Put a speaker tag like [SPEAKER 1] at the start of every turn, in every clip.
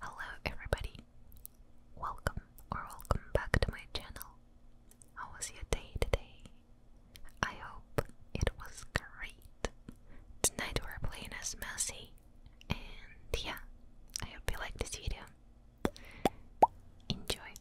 [SPEAKER 1] Hello everybody! Welcome or welcome back to my channel. How was your day today? I hope it was great. Tonight we're playing as Mercy, and yeah, I hope you like this video. Enjoy!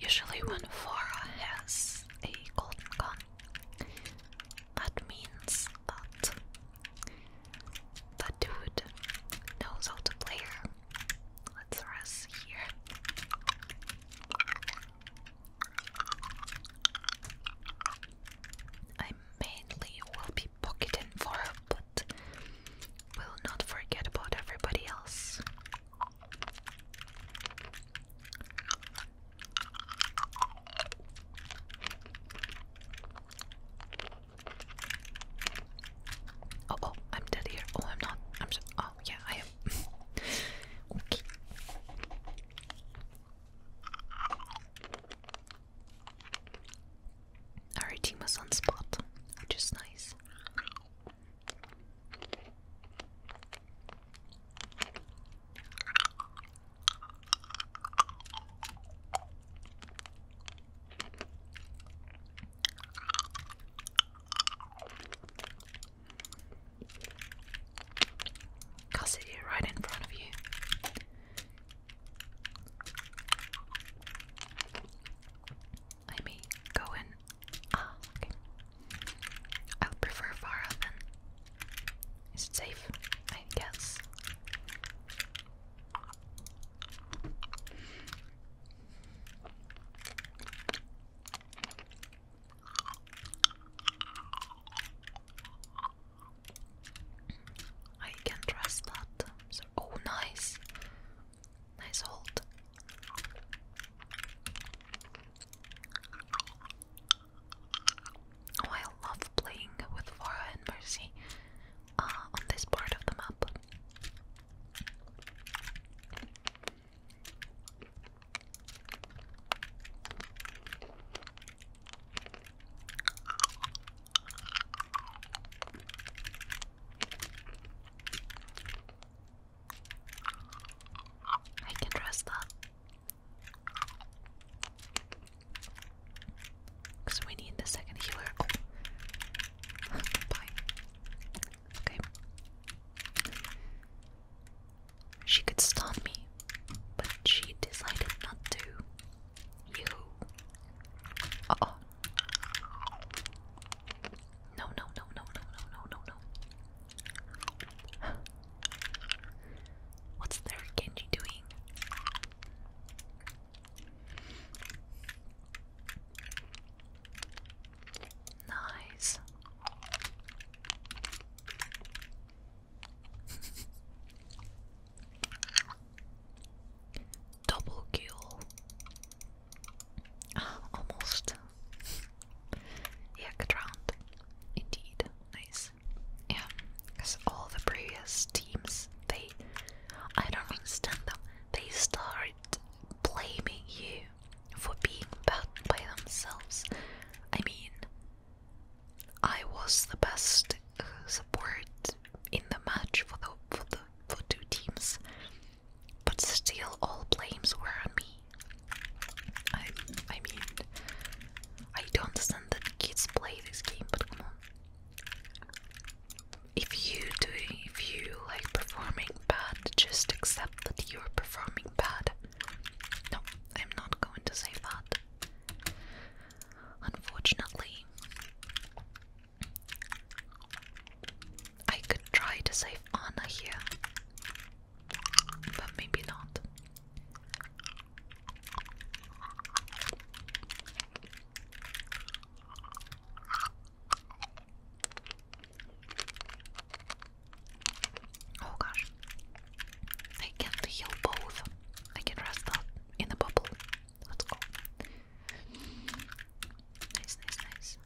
[SPEAKER 1] Usually, when Farah has a golden gun, that means that the dude knows how to play her. Let's rest here. I mainly will be pocketing for but will not forget about everybody else. Oh, oh, I'm dead here. Oh, I'm not. I'm Oh, yeah, I am. okay. Our team was on spot, which is nice. I'll sit here right in front of you. I mean, go in. Ah, okay. I would prefer Farah then. Is it safe? I guess. I can trust that. oh, nice, nice hold. Oh, I love playing with Vara and Mercy uh, on this part of the map. I can rest up because we need the second healer. Oh. Bye. Okay. She could stun me, but she decided not to. You. oh. No, no, no, no, no, no, no, no, What's there, Genji, doing? Nice. Double kill. Ah, almost. yeah, good round. Indeed. Nice. Yeah, because all the previous teams, they. I don't understand them. They start blaming you for being bad by themselves. I mean, I was the best support in the match for the for the for two teams, but still all blames were on me. I I mean, I don't understand that kids play this game, but come on. If you do, if you like performing bad, just accept that you're performing bad. No, I'm not going to save that. Unfortunately, I could try to save Anna here, but maybe not. Oh gosh. I can't heal both. I can rest up in the bubble. Let's go. Nice, nice, nice.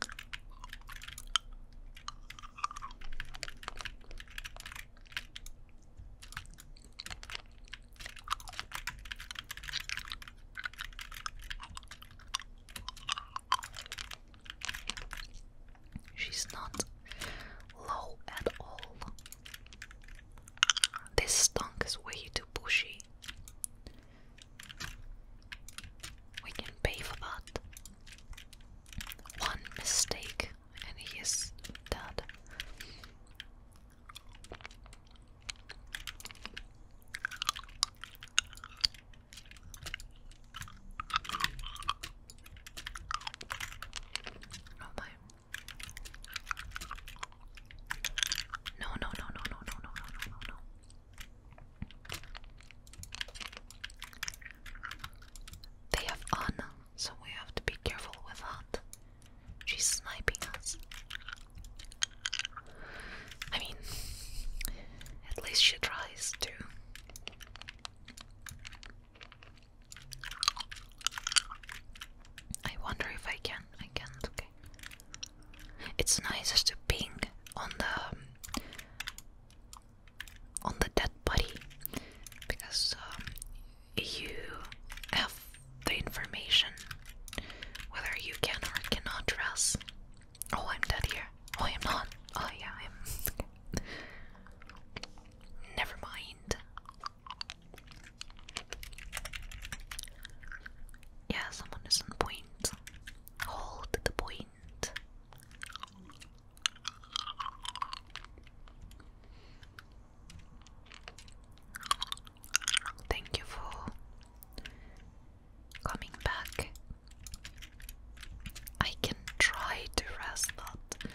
[SPEAKER 1] She's not low at all. This stunk is way too bushy. We can pay for that. One mistake, and he is dead. Oh no, no, no, no, no, no, no, no, no, no. They have Anna, so we have to be careful with that. She's sniping us. I mean, at least she tries to. I wonder if I can. I can't. Okay. It's nice to ping on the um, on the dead body because um, you have the information whether you can or cannot dress. Oh, I'm dead here. Oh, I'm not. Oh, yeah, I am. Never mind. Yeah, someone is on point. Hold the point. Thank you for coming back. I can try to rest that,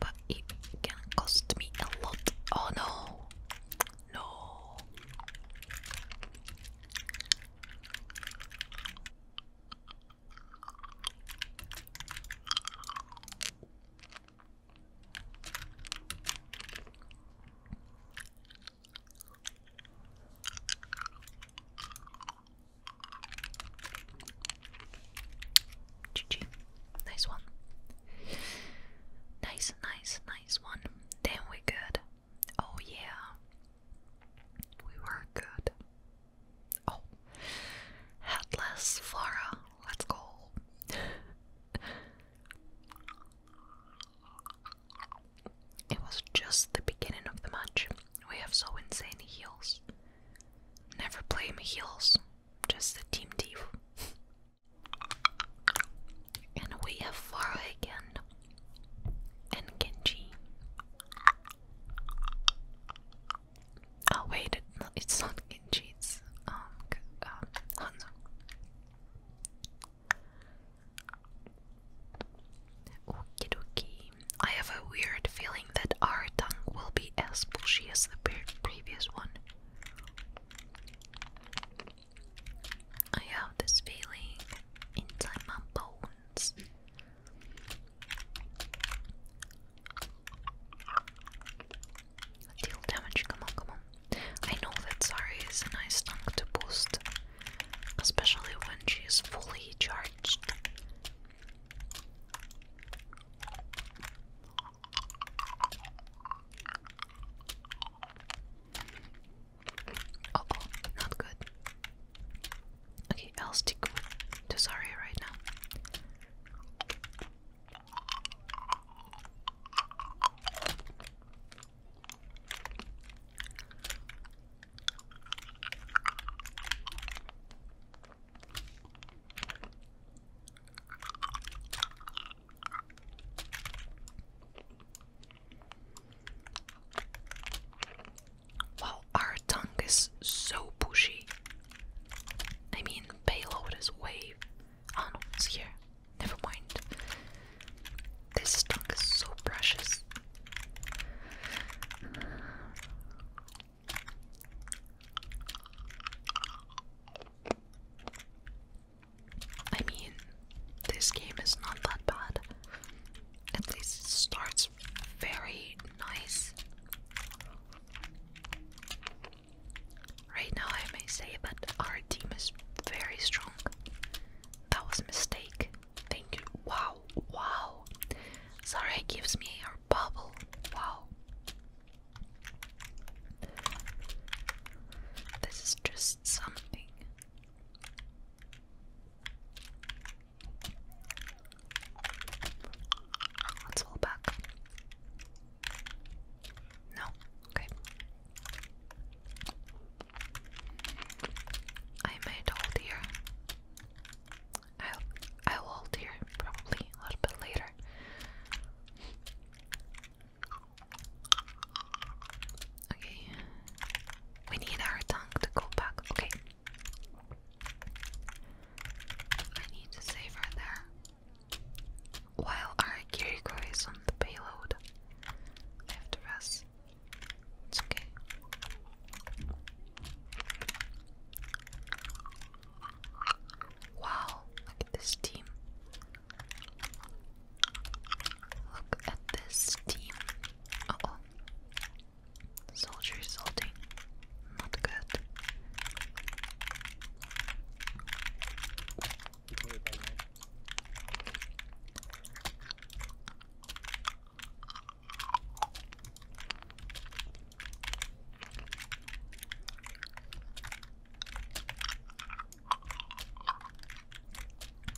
[SPEAKER 1] but it can cost me a lot. Oh no! No! GG. Nice one. Nice, nice, nice one. Then we good. Oh yeah. We were good. Oh. Headless Flora. Let's go. It was just the beginning of the match. We have so insane heels. Never blame heels, just the team div. And we have Farah again. And Genji. Oh wait, it's not Genji, it's um, um Hanzo. Okie dokie. I have a weird feeling that our tongue will be as bushy as the previous one. I have this feeling inside my bones. Deal damage, come on, come on. I know that sorry is a nice tongue to boost, especially when she is fully charged. Oh, not good. Okay, I'll stick with Tesaria right now. Wow, our tongue is so bushy. I mean, payload is way. Oh no, it's here. Never mind. This trunk is so precious. I mean, this game is not that bad. At least it starts very nice. Right now, I may say that our team is very strong. That was a mistake. Thank you. Wow, wow. Sorry gives me a bubble. Wow. This is just something. Let's all back. No, okay. I might hold here. i I will hold here probably a little bit later. Okay. We need our tongue to go back. Okay. I need to save her there. While our Kiriko is on the payload, I have it's okay. Wow, look at this team. Look at this team. oh. Soldier is Not good.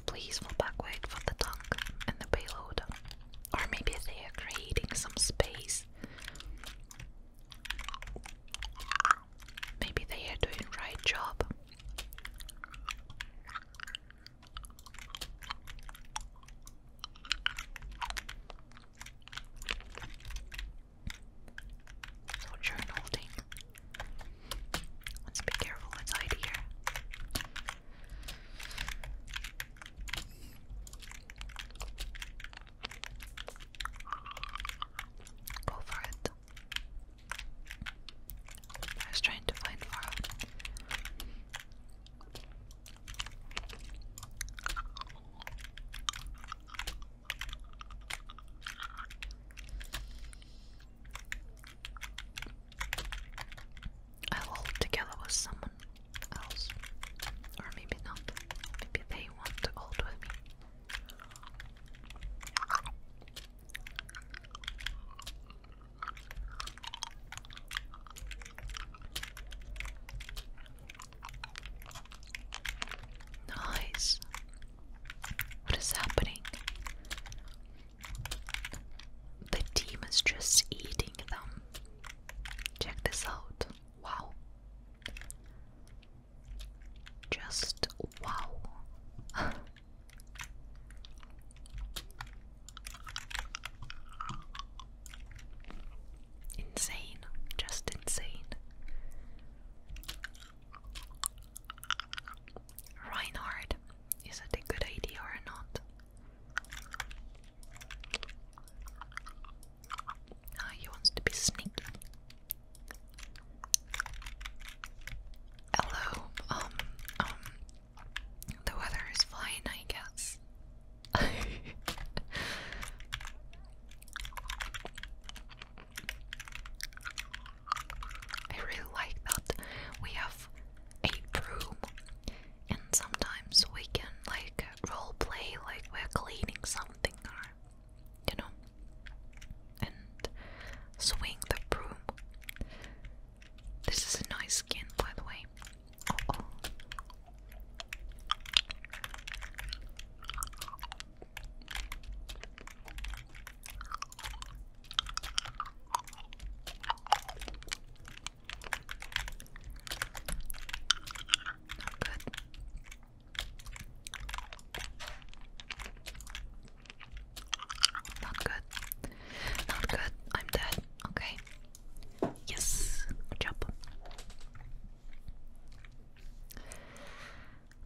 [SPEAKER 1] Please fall backward for the tank and the payload. Or maybe they are creating some space. Maybe they are doing right job. So journal holding. Let's be careful inside here. Go for it. I was trying to find Laura. I will together with someone else. Or maybe not. Maybe they want to hold with me. Nice. What is happening? The team is just eating them. Check this out. Wow. Just wow. Insane, just insane. Reinhard, is it a good idea or not? Ah, he wants to be sneaky. Hello. Um, um, the weather is fine, I guess. I really like that we have a broom, and sometimes we can like role play like we're cleaning something you know, and swing the broom. This is a nice skin, by the way. Oh, oh. good. Not good. Not good. I'm dead. Okay. Yes. Good job.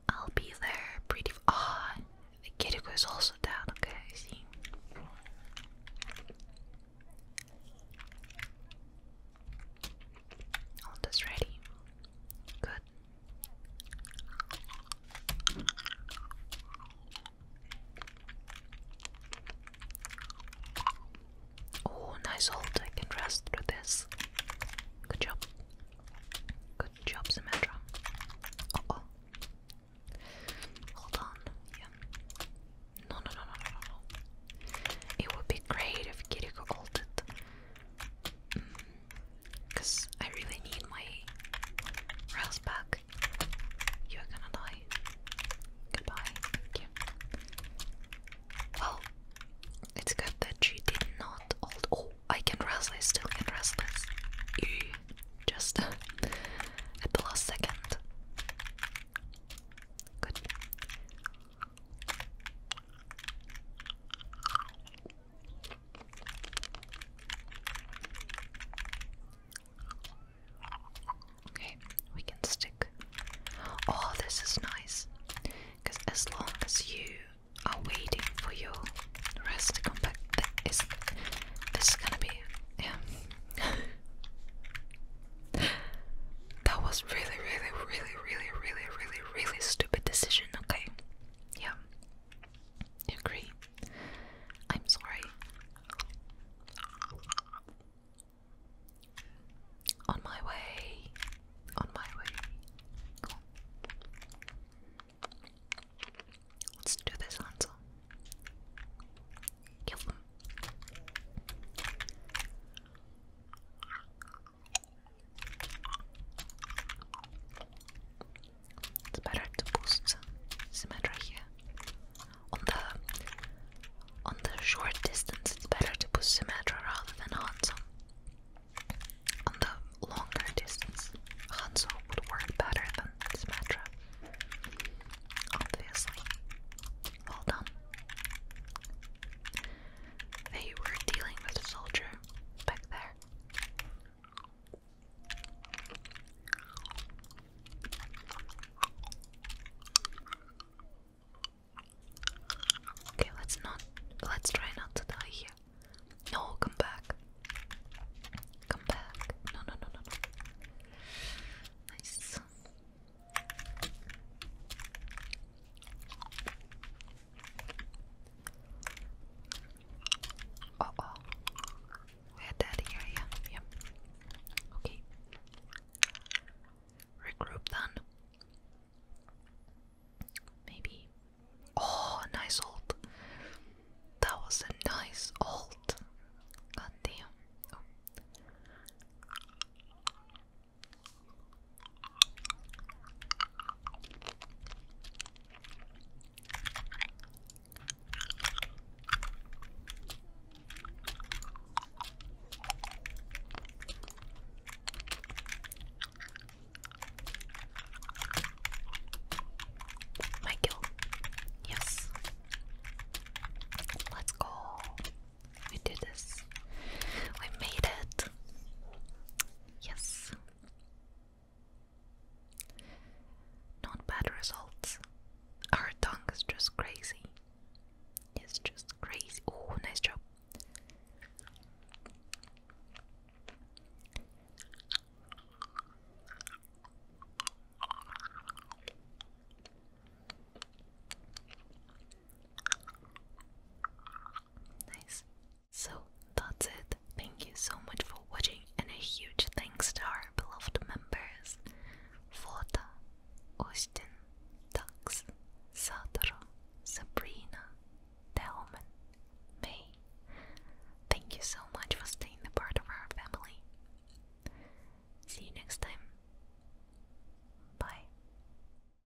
[SPEAKER 1] I'll be there pretty. far. Ah, the Kiriko was also dead. Okay, I see. All this ready. Good. Oh, nice hold. I can rest through this. Good job. Good job, Symmetra. Hold on. Yeah. No, no, no, no, no, no. It would be great if Kiriko ulted. Because I really need my rails back. You're gonna die. Goodbye. Well, it's good that she did not Oh, I can wrestle. I still can wrestle. Just at the last second. Good. Okay, we can stick. Oh, this is nice. Because as long as you are waiting for your rest to come back, this, this is gonna be. Yeah. that was really, really, really, really, really, really, really stupid decision, okay? Yeah. Agree. I'm sorry. On my way. On my way. Let's do this answer. Збирать boosts Symmetra here. On the on the short distance it's better to boost Symmetra rather than Hanzo. On the longer distance, Hanzo would work better than Symmetra. Obviously. Well done. They were dealing with a soldier back there. Okay, let's not let's try not to die here. No, come back. Come back. No no no no no. Nice. Uh oh. We had that here, yeah. Yep. Okay. Regroup then. Maybe. Oh, nice ult. That was a nice ult. God damn. Oh. Michael, yes, let's go. We did this. We made it. Yes. Not bad results. Our tongue is just crazy. It's just crazy. Oh, nice job. Nice. So that's it. Thank you so much for watching and a huge thanks to our beloved members Vota, Austin, Dax, Satoru, Sabrina, Delman, May. Thank you so much for staying a part of our family. See you next time. Bye.